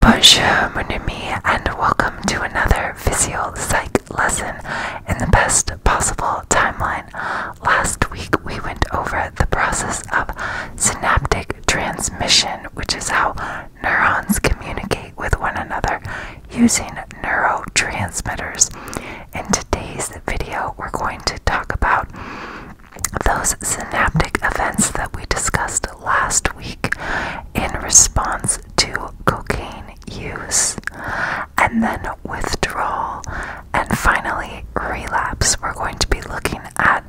Bonjour, mon ami, and welcome to another visual psych lesson in the best possible timeline. Last week we went over the process of synaptic transmission, which is how neurons communicate with one another using neurotransmitters. In today's video, we're going to talk about those synaptic events that we discussed last week in response to cocaine use, and then withdrawal, and finally relapse. We're going to be looking at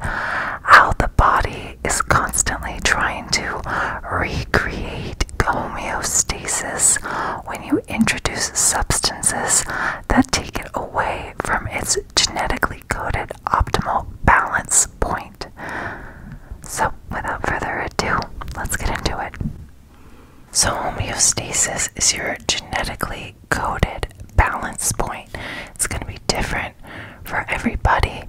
how the body is constantly trying to recreate homeostasis when you introduce substances that take it away from its genetically coded optimal balance point. So, without further ado, let's get into it. So, homeostasis is your genetically coded balance point. It's going to be different for everybody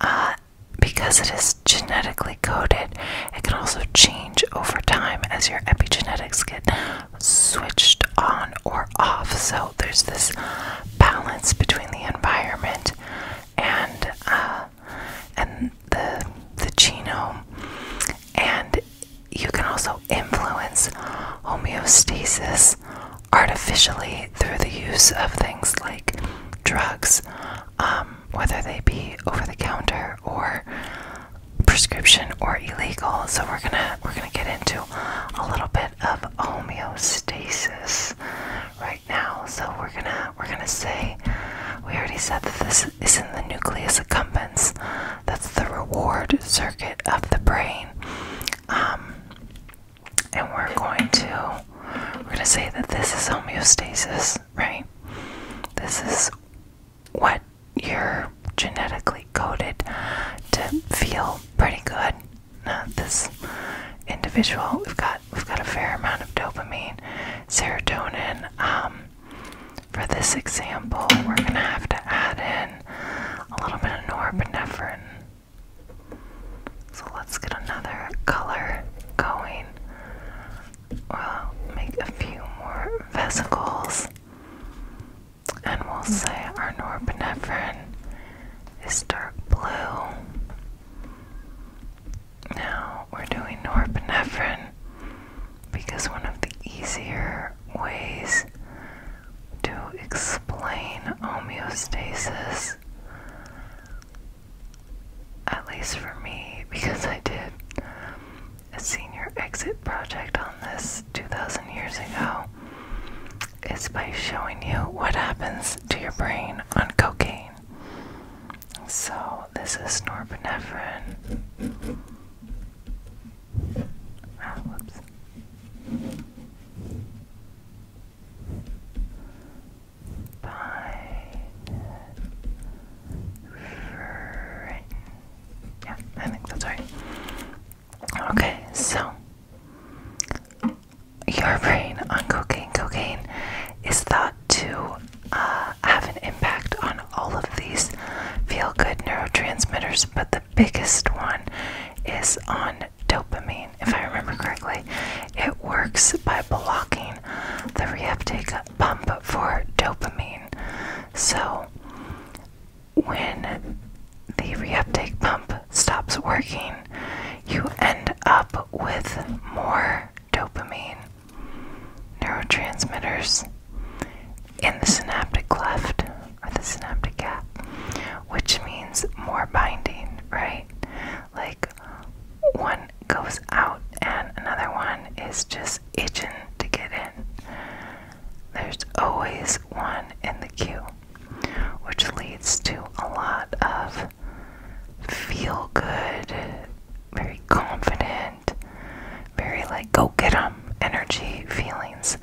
uh, because it is genetically coded. It can also change over time as your epigenetics get switched on or off. So there's this balance between the environment and uh, and the the genome, and you can also influence homeostasis artificially through the use of things like drugs, um, whether they be over the counter or prescription or illegal. So we're gonna we're gonna get into a little bit of homeostasis right now. So we're gonna we're gonna say we already said that this is in the nucleus accumbens. That's the reward circuit of the brain. Um, and we're going to we're going to say that this is homeostasis, right? This is what you're genetically coded to feel pretty good. Now, this individual, we've got we've got a fair amount of dopamine, serotonin. Um, for this example, we're gonna have to add in a little bit of norepinephrine. So let's get another color going. We'll make a few more vesicles. And we'll say our norepinephrine is dark blue. Now we're doing norepinephrine because one of the easier ways to explain homeostasis, at least for me, because I did a senior exit project on this 2,000 years ago is by showing you what happens to your brain on cocaine. So, this is norepinephrine. Ah, whoops. By yeah, I think that's right. Okay, so your brain on cocaine. Cocaine is thought to uh, have an impact on all of these feel good neurotransmitters, but the biggest one is on dopamine, if I remember correctly. It works by blocking the reuptake pump for dopamine. So, when the reuptake pump stops working, you end up with more dopamine neurotransmitters in the synaptic cleft or the synaptic gap, which means more binding, right? Like one goes out and another one is just itching to get in. There's always one in the queue, which leads to a lot of feel good, very confident, very like go get 'em energy feelings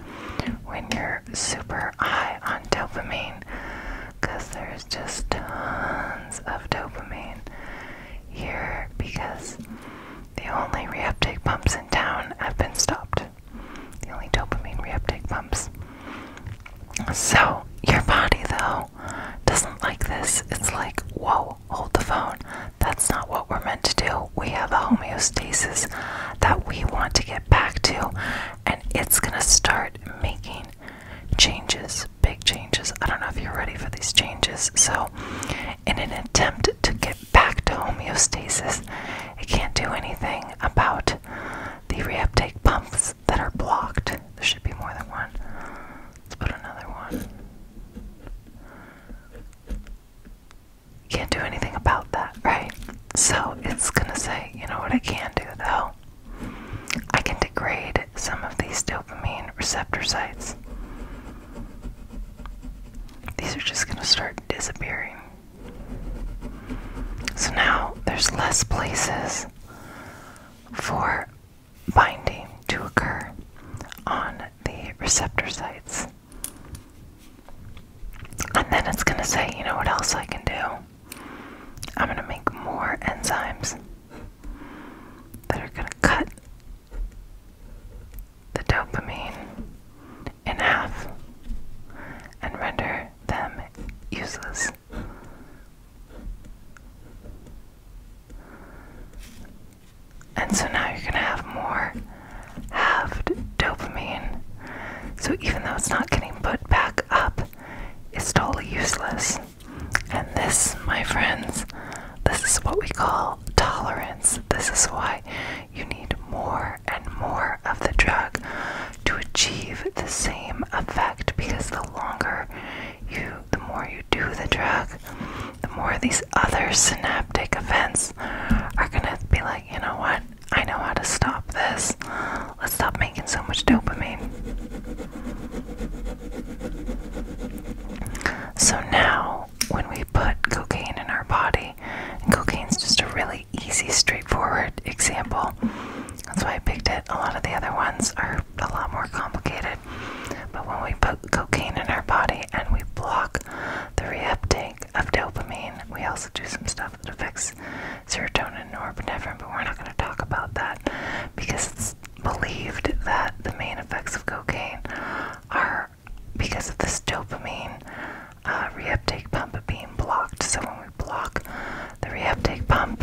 when you're super high on dopamine because there's just tons of dopamine here because the only reuptake pumps in town have been stopped. The only dopamine reuptake pumps. So, your body, though, doesn't like this. It's like, whoa, hold the phone. That's not what we're meant to do. We have a homeostasis that we want to get back to, and it's going to start making changes, big changes. I don't know if you're ready for these changes. So, in an attempt to get back to homeostasis. It can't do anything about the reuptake pumps that are blocked. There should be more than one. Let's put another one. Can't do anything about that, right? So it's gonna say, you know what I can do though? I can degrade some of these dopamine receptor sites. These are just going to start disappearing. So now there's less places for binding to occur on the receptor sites. And then it's going to say, you know what else I can do? I'm going to make more enzymes that are going to cut the dopamine in half and render them useless. And so now you're going to have more halved dopamine. So even though it's not getting put back up, it's totally useless. And this, my friends, this is what we call tolerance. This is why you need more and more of the drug to achieve the same effect because the longer you, the more you do the drug, the more these other synaptic events are going to be like, you know what? I know how to stop this. Let's stop making so much dopamine. So now, when we put cocaine in our body, cocaine's just a really easy, straightforward example. That's why I picked it. A lot of the other ones are a lot more complicated. But when we put cocaine in our body and we block the reuptake of dopamine, we also do some stuff that affects serotonin or norepinephrine, but we're not going to talk about that because it's believed that the main effects of cocaine are because of this dopamine uh, reuptake pump being blocked. So when we block the reuptake pump,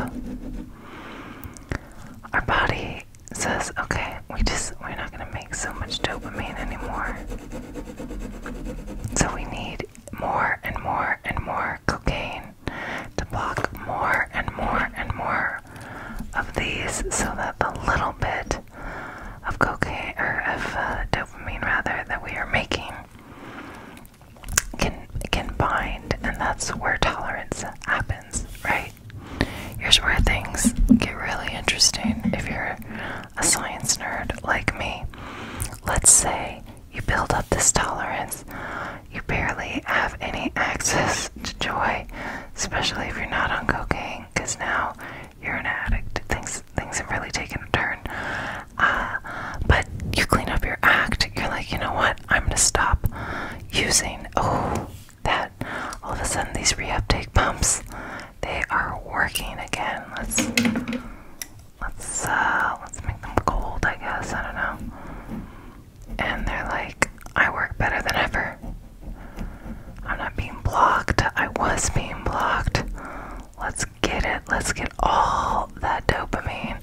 our body says, "Okay, we just we're not going to make so much dopamine anymore." So we need more and more and more cocaine to block more and more and more of these so that the little bit of cocaine or of uh, dopamine rather that we are making can can bind and that's where tolerance happens right here's where things get really interesting if you're a science nerd like me let's say you build up this tolerance you barely have any access to joy, especially if you're not on cocaine, because now you're an addict. Things things have really taken a turn. Uh, but you clean up your act. You're like, you know what? I'm gonna stop using. Oh, that all of a sudden these reuptake pumps, they are working again. Let's let's uh, let's make them cold. I guess I don't know and they're like, I work better than ever. I'm not being blocked. I was being blocked. Let's get it. Let's get all that dopamine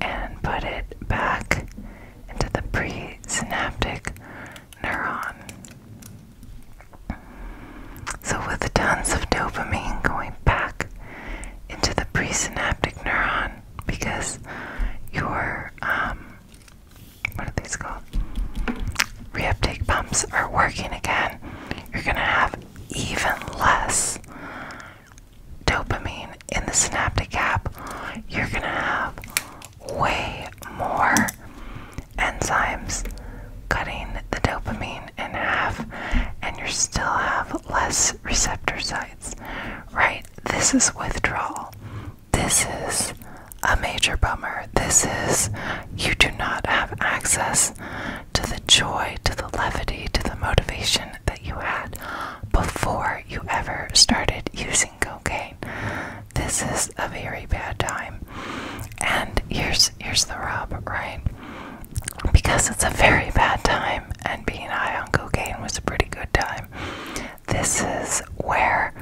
and put it back into the presynaptic neuron. So, with tons of dopamine going back into the presynaptic neuron, because your um what are these called? Reuptake pumps are working again. You're gonna have even less dopamine in the synaptic gap. You're gonna have way more enzymes cutting the dopamine in half, and you still have less receptor sites, right? this is withdrawal. This is a major bummer. This is you do not have access to the joy, to the levity, to the motivation that you had before you ever started using cocaine. This is a very bad time. And here's here's the rub, right? Because it's a very bad time and being high on cocaine was a pretty good time. This is where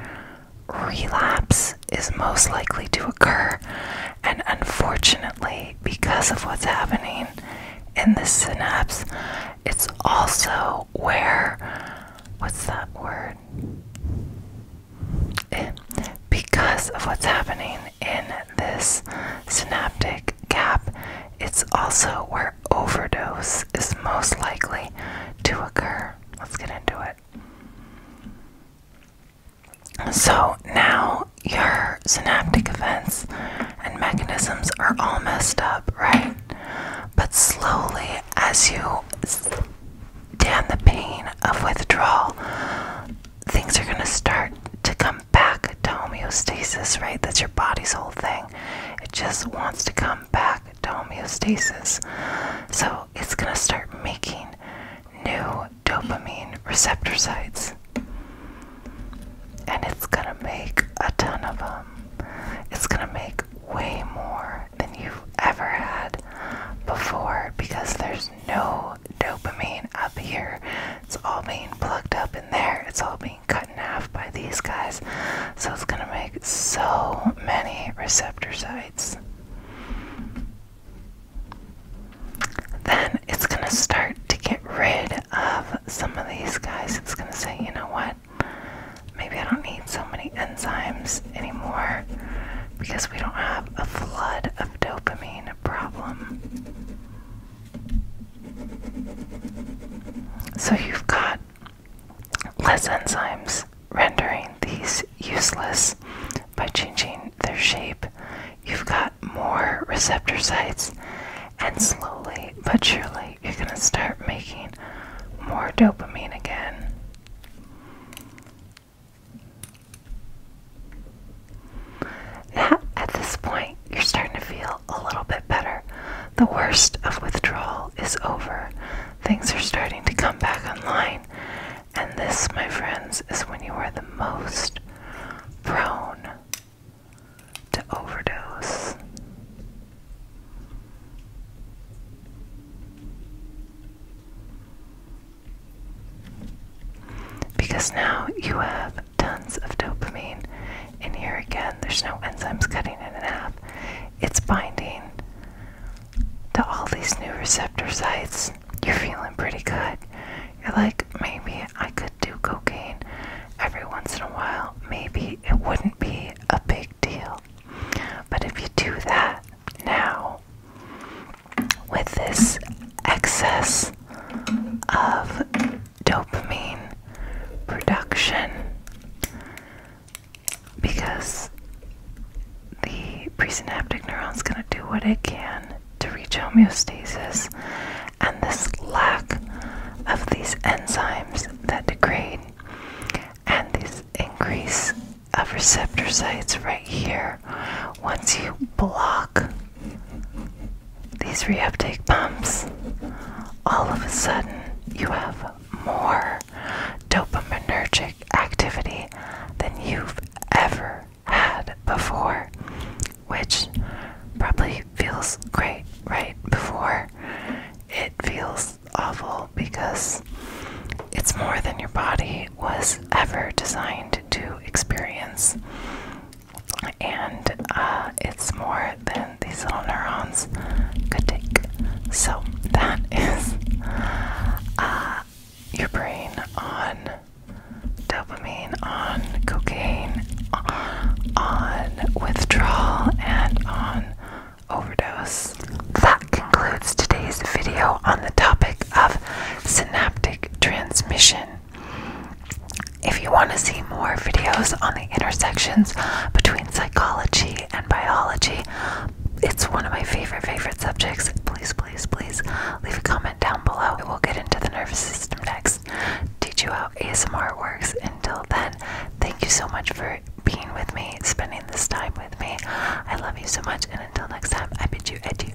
relapse is most likely to occur, and unfortunately, because of what's happening in the synapse, it's also where what's that word? Eh, because of what's happening in this synaptic gap, it's also where overdose is most likely to occur. Let's get into it. So now your synaptic events and mechanisms are all messed up, right? But slowly, as you damn the pain of withdrawal, things are going to start to come back to homeostasis, right? That's your body's whole thing. It just wants to come back to homeostasis. So it's going to start making new dopamine receptor sites. And it's going to make a ton of them. It's going to make way more than you've ever had before because there's no dopamine up here. It's all being plugged up in there. It's all being cut in half by these guys. So it's going to make so many receptor sites. Then it's going to start to get rid of some of these guys. It's going to say, you know what? Maybe I don't need so many enzymes anymore because we don't have a flood of dopamine problem. So you've got less enzymes rendering these useless by changing their shape. You've got more receptor sites, and slowly but surely you're going to start making more dopamine again. Now, at this point, you're starting to feel a little bit better. The worst of withdrawal is over. Things are starting to come back online. And this, my friends, is when you are the most prone to overdose. Because now you have tons of dopamine. And here again, there's no enzymes cutting it in half. It's binding to all these new receptor sites. You're feeling pretty good. You're like, maybe I could do cocaine every once in a while. Maybe it wouldn't be a big deal. But if you do that now, with this excess of dopamine production because the presynaptic neuron is going to do what it can to reach homeostasis and this lack of these enzymes that degrade and this increase of receptor sites right here once you block these reuptake pumps, all of a sudden you have more dopaminergic activity than you've ever had before, which probably feels great right before. It feels awful because it's more than your body was ever designed to experience and uh, it's more than these little neurons could take. So that is uh, your brain on dopamine, on cocaine, on withdrawal, and on overdose. That concludes today's video on the topic of synaptic transmission. If you want to see more videos on the intersections between psychology and biology, it's one of my favorite, favorite subjects. Please, please, please leave a comment down below. We'll get into the nervous system next. Teach you how ASMR works. Until then, thank you so much for being with me, spending this time with me. I love you so much, and until next time, I bid you adieu.